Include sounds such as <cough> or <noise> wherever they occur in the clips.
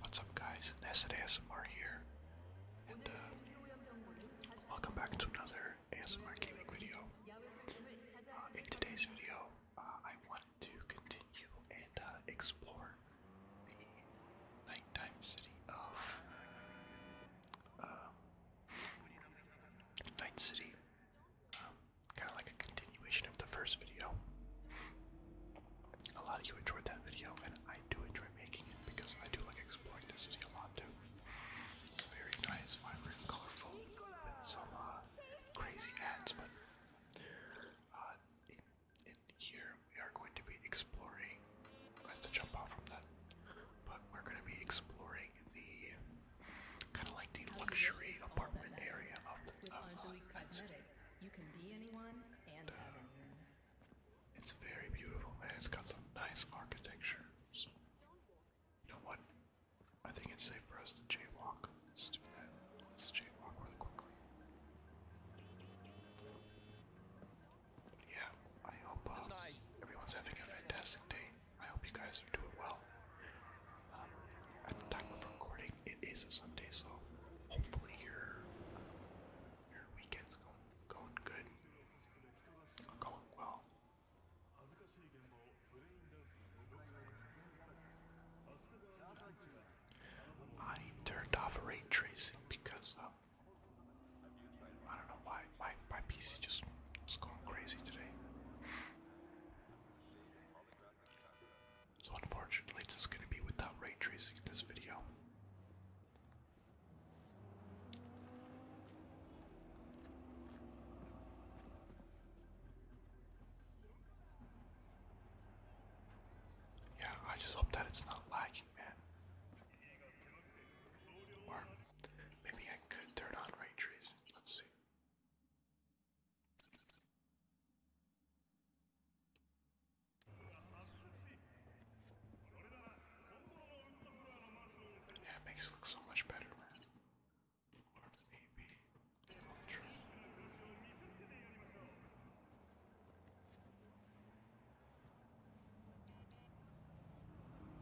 What's up guys, Nessa ASMR here, and uh, welcome back to another ASMR gaming video. Uh, in today's video, uh, I want to continue and uh, explore the nighttime city of um, Night City, um, kind of like a continuation of the first video a lot of you enjoyed that video, and I do enjoy making it because I do like exploring the city a lot too. It's very nice, vibrant, colorful, with some uh, crazy ads, but uh, in, here we are going to be exploring. I have to jump off from that, but we're going to be exploring the kind of like the luxury apartment area of the. Uh, and It's very beautiful, man. It's got some nice architecture. So, you know what? I think it's safe for us to jaywalk. Let's do that. Let's jaywalk really quickly. yeah, I hope uh, everyone's having a fantastic day. I hope you guys are doing well. Um, at the time of recording, it is a Sunday, so hopefully your um, your weekend's going going good, going well. I turned off ray tracing because um, I don't know why my my PC just was going crazy today. So unfortunately, this is going to be without ray tracing in this video. Yeah, I just hope that it's not lagging, man. Or maybe I could turn on ray tracing. Let's see. Yeah, it makes it look so much better, man.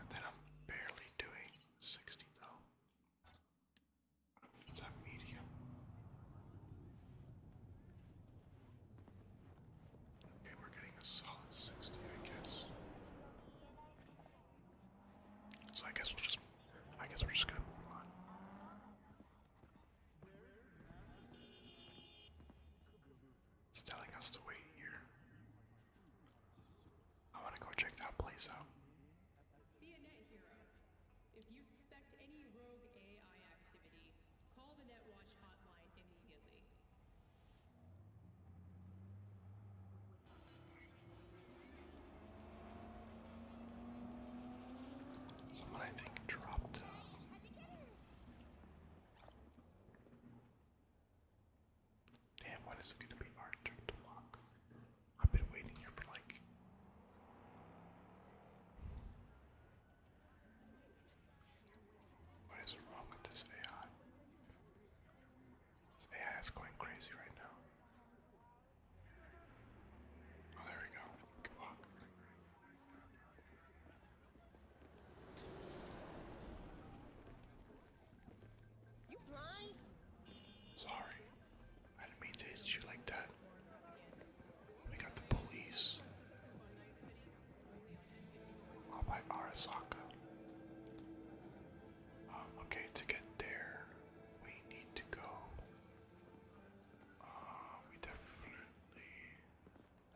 And then I'm barely doing sixty though. Okay, we're getting a solid 60, I guess. So I guess we'll just I guess we're just gonna move on. He's telling us to wait here. I wanna go check that place out. If you suspect any rogue AI activity, call the NetWatch hotline immediately. Someone I think dropped uh, Damn, what is it gonna be our turn to walk? I've been waiting here for like what is wrong with this AI? This AI is going crazy right now. Oh, there we go. Good walk. You blind? Sorry. I didn't mean to hit you like that. We got the police. All by Arasaka. Um, okay, to get there, we need to go. Uh, we definitely.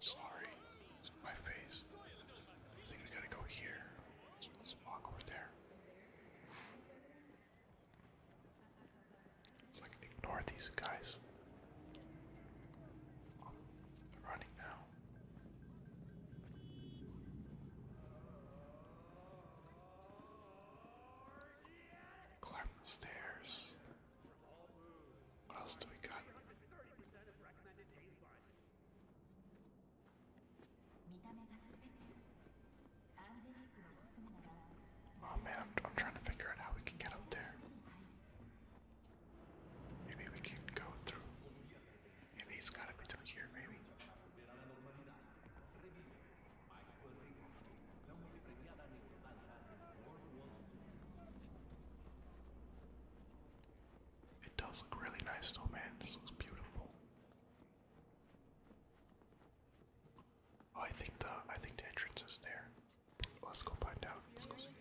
Sorry, it's my face. I think we gotta go here. let's walk over there. It's like ignore these guys. I'm running now. Climb the stairs. What else do we got? Oh man, I'm, trying to figure out how we can get up there. Maybe we can go through. Maybe it's gotta be through here, maybe. It does look really nice though, man. This looks beautiful. Oh, I think the I think the entrance is there. Let's go find out. Let's go see.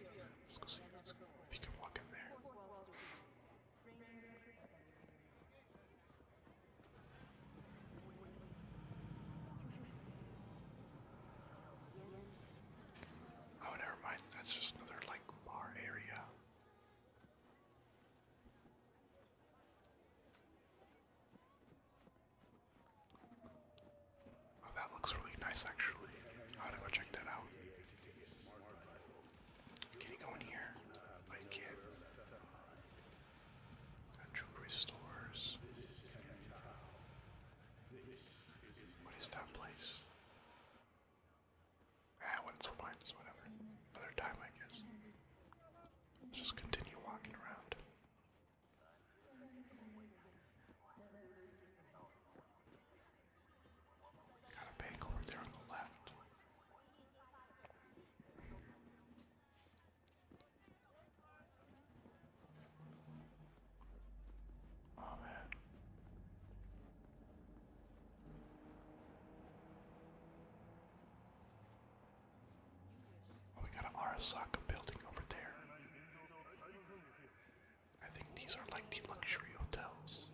Let's go see Let's go. if you can walk in there. Oh, never mind. That's just another like bar area. Oh, that looks really nice actually. I ought to go check that out. Can you go in here? I can Jewelry stores. What is that place? Ah, when fine, it's whatever. Another time, I guess. just continue walking around. Got a bank over there on the left. Oh man. Oh, we got an Arasaka building over there. I think these are like the luxury hotels.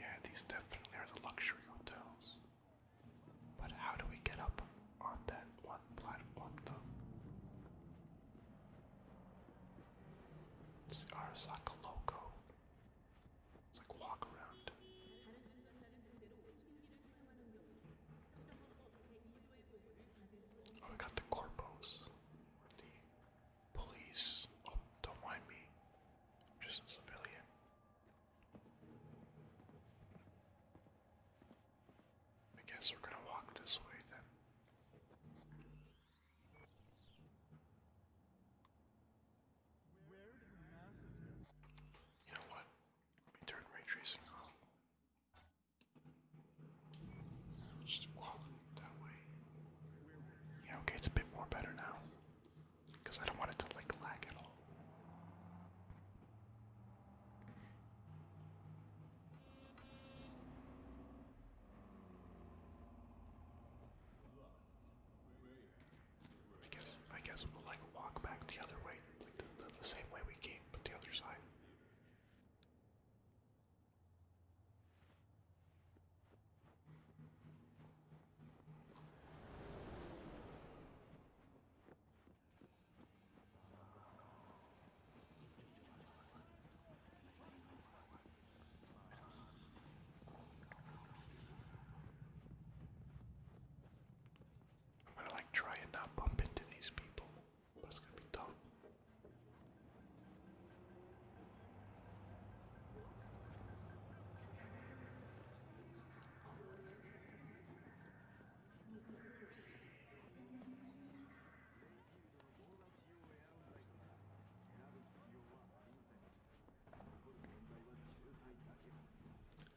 Yeah, these definitely are the luxury hotels. But how do we get up on that one platform though? It's the Arasaka logo. It's like walk around. Oh, we got the corpos, the police. Oh, don't mind me. I'm just a civilian. I guess we're gonna walk this way then. You know what? Let me turn ray tracing off. Just quality that way. Yeah, okay, it's a bit more better now. Because I don't want it to like lag at all. I guess I guess we'll like walk back the other way, like the, the, the same way we came, but the other side. I'm gonna like try and not bump into these people, but it's gonna be tough.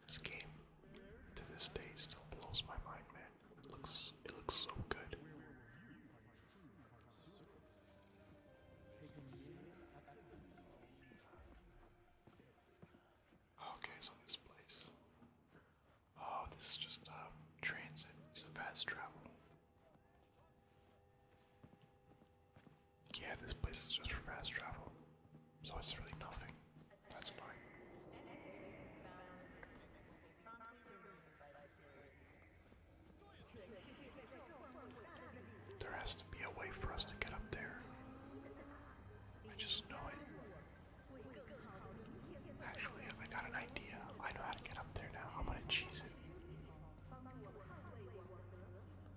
This game to this day still blows my mind, man. It looks it looks so good. Oh, okay, so this place. Oh, this is just um, transit. It's a fast travel. Yeah, this place is just for fast travel, so it's really nothing. That's fine. There has to be a way for us to get up there. I just know it. Actually, I got an idea. I know how to get up there now. I'm gonna cheese it.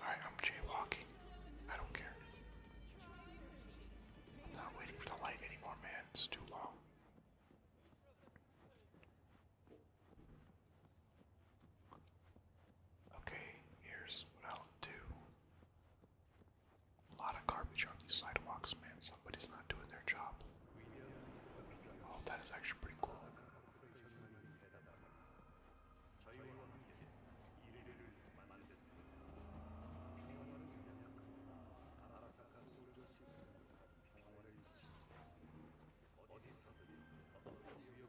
Alright, I'm jaywalking. I don't care. I'm not waiting for the light anymore, man. It's too long. Okay, here's what I'll do. A lot of garbage on these sidewalks, man. Somebody's not doing their job. Oh, that is actually pretty cool.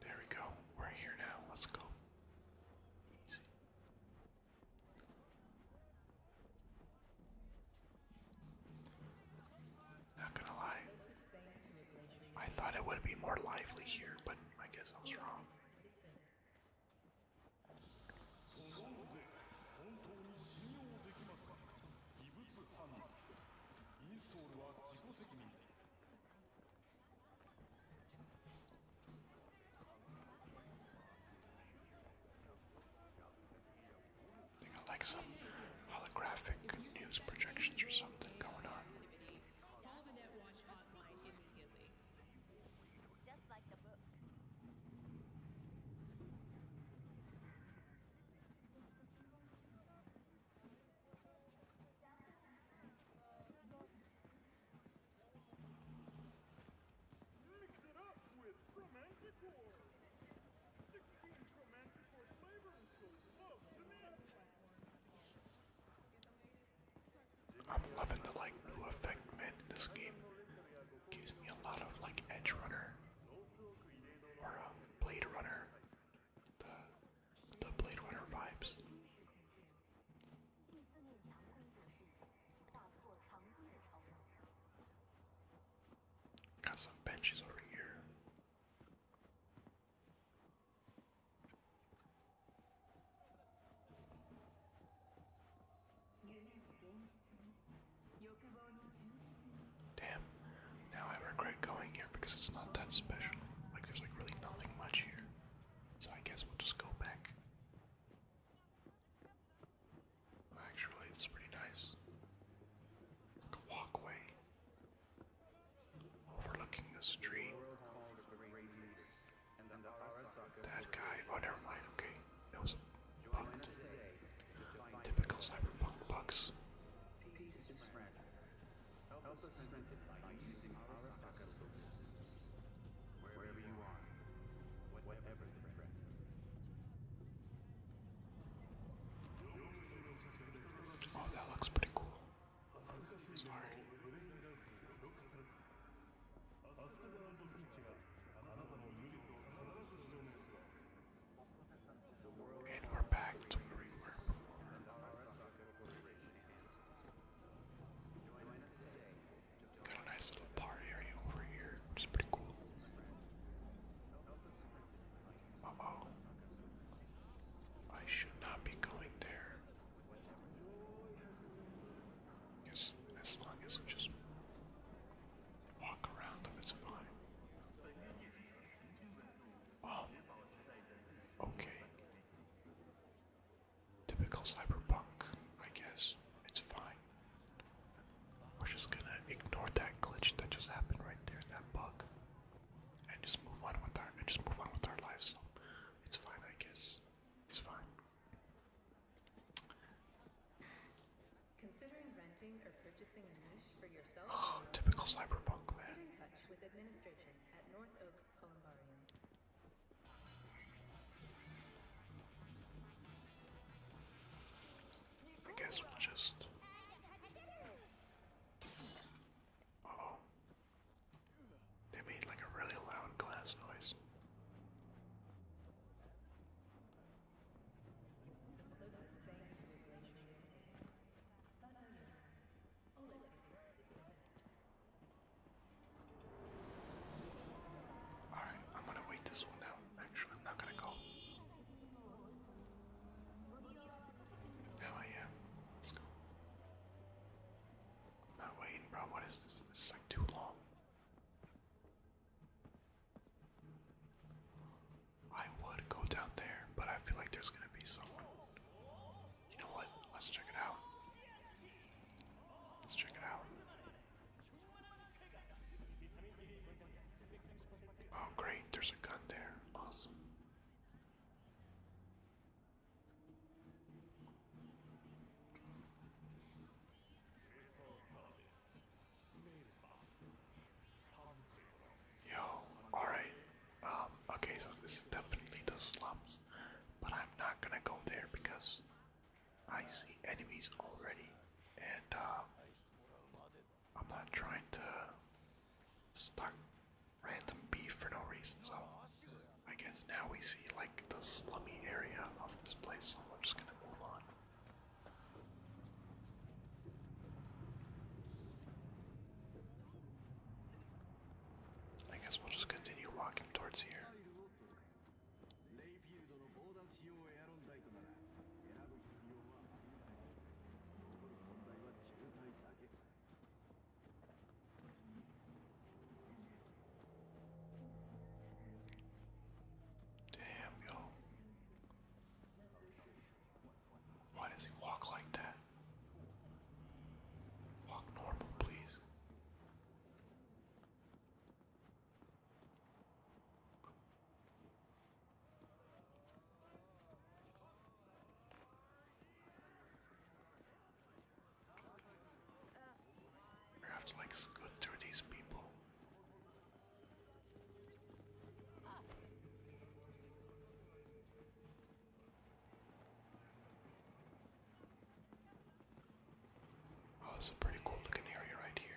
There we go. We're here now. Let's go. Not gonna lie, I thought it would be more lively here, but I guess I was wrong. I think I like some holographic news projections or something going on. Call the Netwatch hotline immediately. Just like the book. romantic or 16 romantic or flavor and so love the net. I'm loving the like blue effect man in this game. Gives me a lot of like Edge Runner or um, Blade Runner, the Blade Runner vibes. Got some benches over here. Damn, now I regret going here because it's not that special. Like, there's like really nothing much here. So I guess we'll just go back. Actually, it's pretty nice. Like a walkway overlooking the street. That guy. Oh, never mind. Okay, that was Typical cyberpunk bugs. Oh, that looks pretty cool. It's hard. And we're back to where we were before. Got a nice little bar area over here, which pretty cool oh. I should not be going there. Yes, as long as we just walk around it's fine. Um. Okay. Typical cyberpunk, I guess. It's fine. We're just gonna ignore that glitch that just happened right there, that bug and just move on with our lives. So it's fine, I guess. It's fine. Considering renting or purchasing a niche for yourself? <gasps> typical cyberpunk man. I guess we'll just. They made like a really loud glass noise. Alright, I'm gonna wait this one out. Actually, I'm not gonna go. Now I am. Let's go. Not waiting, bro. What is this? This like too long. I would go down there, but I feel like there's gonna be someone. You know what? Let's check it out. Let's check it out. Oh, great. There's a gun there. Awesome. Yo, alright. Um, okay, so this is definitely the slums, but I'm not gonna go there because I see enemies already, and uh, I'm not trying to start random beef for no reason. So I guess now we see like the slummy area of this place. So we're just gonna move on. I guess we'll just continue walking towards here. Damn, yo. Why does he walk like that? Walk normal, please. Perhaps like good through these people. Oh, this is a pretty cool looking area right here.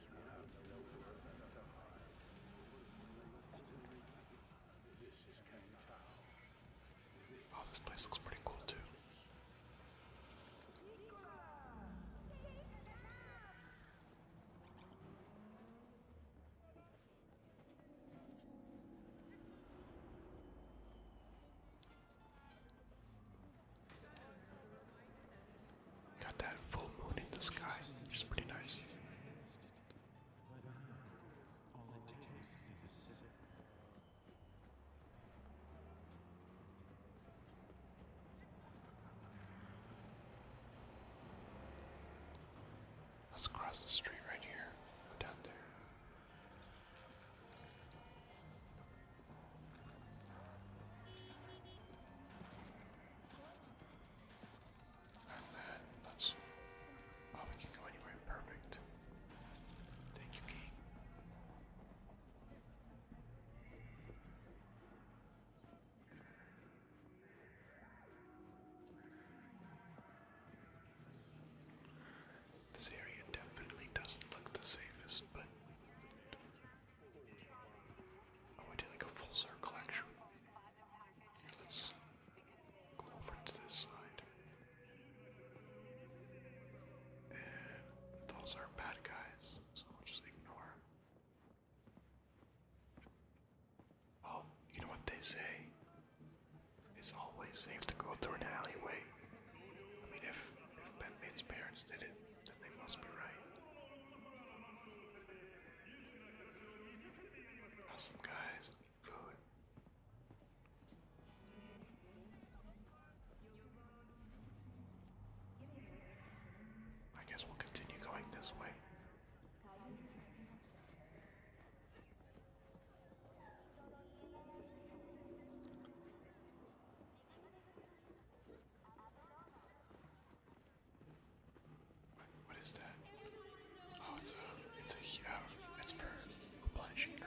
Oh, this place looks pretty cool too. Got that full moon in the sky, which is pretty nice. Let's cross the street right here. down there. And then let's. Oh, we can go anywhere. Perfect. Thank you, King. This area definitely doesn't look the safest, but Oh, did like a full circle actually. let's go over to this side. And those are bad guys, so we'll just ignore. Oh, you know what they say? It's always safe to go through an alleyway. I mean, if if Batman's parents did it, then they must be right. Awesome, guys. Food. I guess we'll continue going this way what is that? Oh, it's a, it's a, oh, it's for replenishing your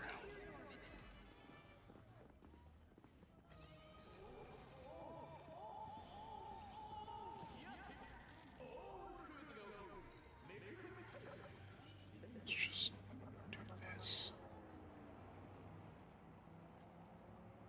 Let's just do this.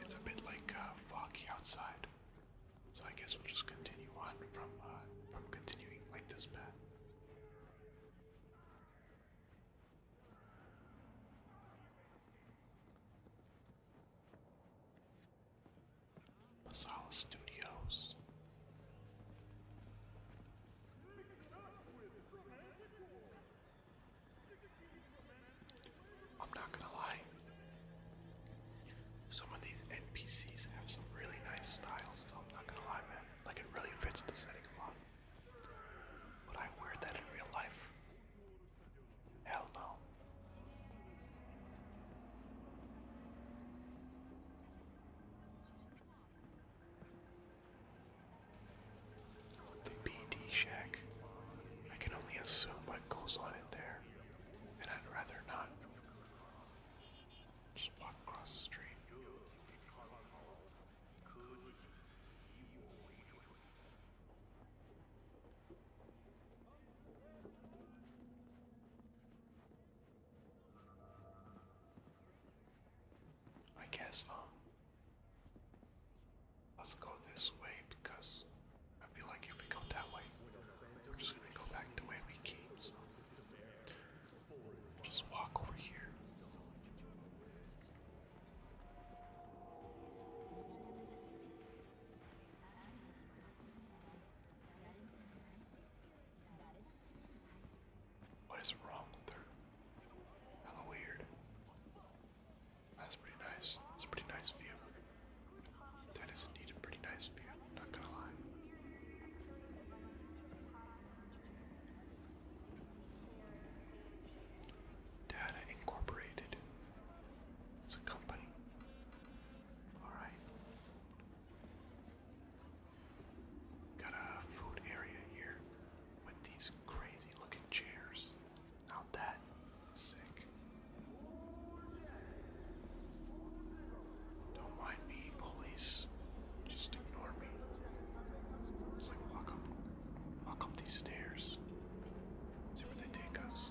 It's a bit like uh, foggy outside, so I guess we'll just continue on from uh, from continuing like this path. Masala Studios. I'm not gonna lie. Some of these NPCs have some really nice styles, though. I'm not gonna lie, man. Like, it really fits the setting a lot. Would I wear that in real life? Hell no. The BD shack. I can only assume what goes on in there, and I'd rather not. Just walk across the street. I guess, um, let's go this way because I feel like if we go that way, we're just gonna go back the way we came, so just walk over here. What is wrong with her? Hella weird. That's pretty nice. That's a pretty nice view. That is indeed a pretty nice view, not gonna lie. Data Incorporated. It's a company. Alright. Got a food area here with these crazy looking chairs. Now that is sick. Don't mind me, police. Just ignore me. It's like walk up, walk up these stairs. See where they take us.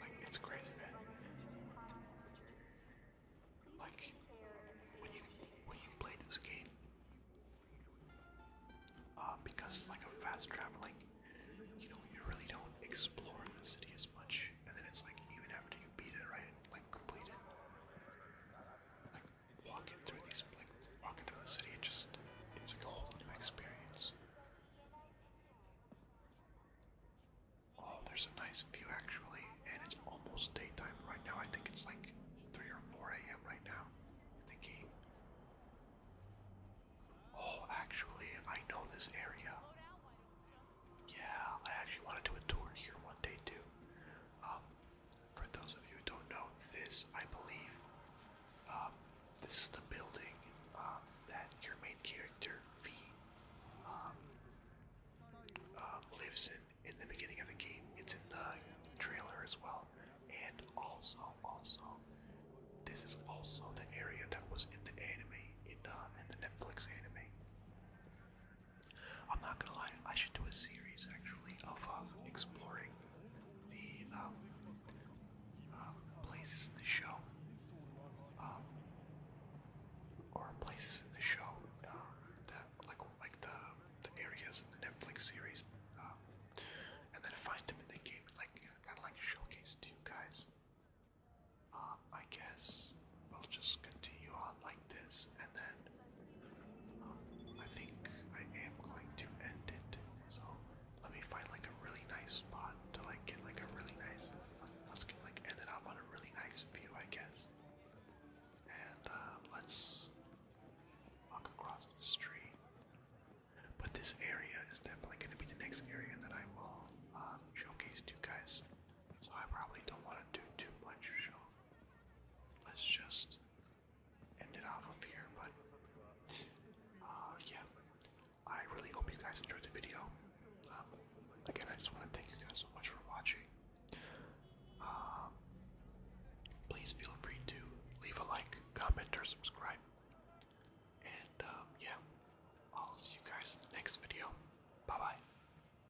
like it's crazy, man. Like when you when you play this game, uh, because like a fast traveling, you know, you really don't explore the city as much. And then it's like even after you beat it, right? completed. Like walking through these, like walking through the city, it just it's like a whole new experience. Oh, there's a nice view actually, and it's almost daytime right now. I think it's like three or four a.m. right now. In the game. Oh, actually, I know this area. Yeah, I actually want to do a tour here one day too. Um, for those of you who don't know, this I believe, um, this is the building um, that your main character V uh, lives in in the beginning of the game. It's in the trailer as well, and also, also, this is also the area that was in the anime in uh, in the Netflix anime. I'm not gonna lie, I should do a series actually of um, exploring the um, um, places in the show, or places in the show that like like the the areas in the Netflix series, and then find them in the game, like kind of like showcase to you guys. I guess we'll just continue on like this, and then um, I think I am going to end it. So let me find like a really nice spot to like get like a really nice. Uh, let's get like end it up on a really nice view, I guess. And uh, let's walk across the street. But this area is definitely going to be the next area that I will um, showcase to you guys. So I probably don't want to do too much, let's just end it off of here. But uh, yeah, I really hope you guys enjoyed the video. Um, again, I just want to thank you guys so much for watching. Um, please feel free to leave a like, comment, or subscribe. And um, yeah, I'll see you guys in the next video. Bye bye.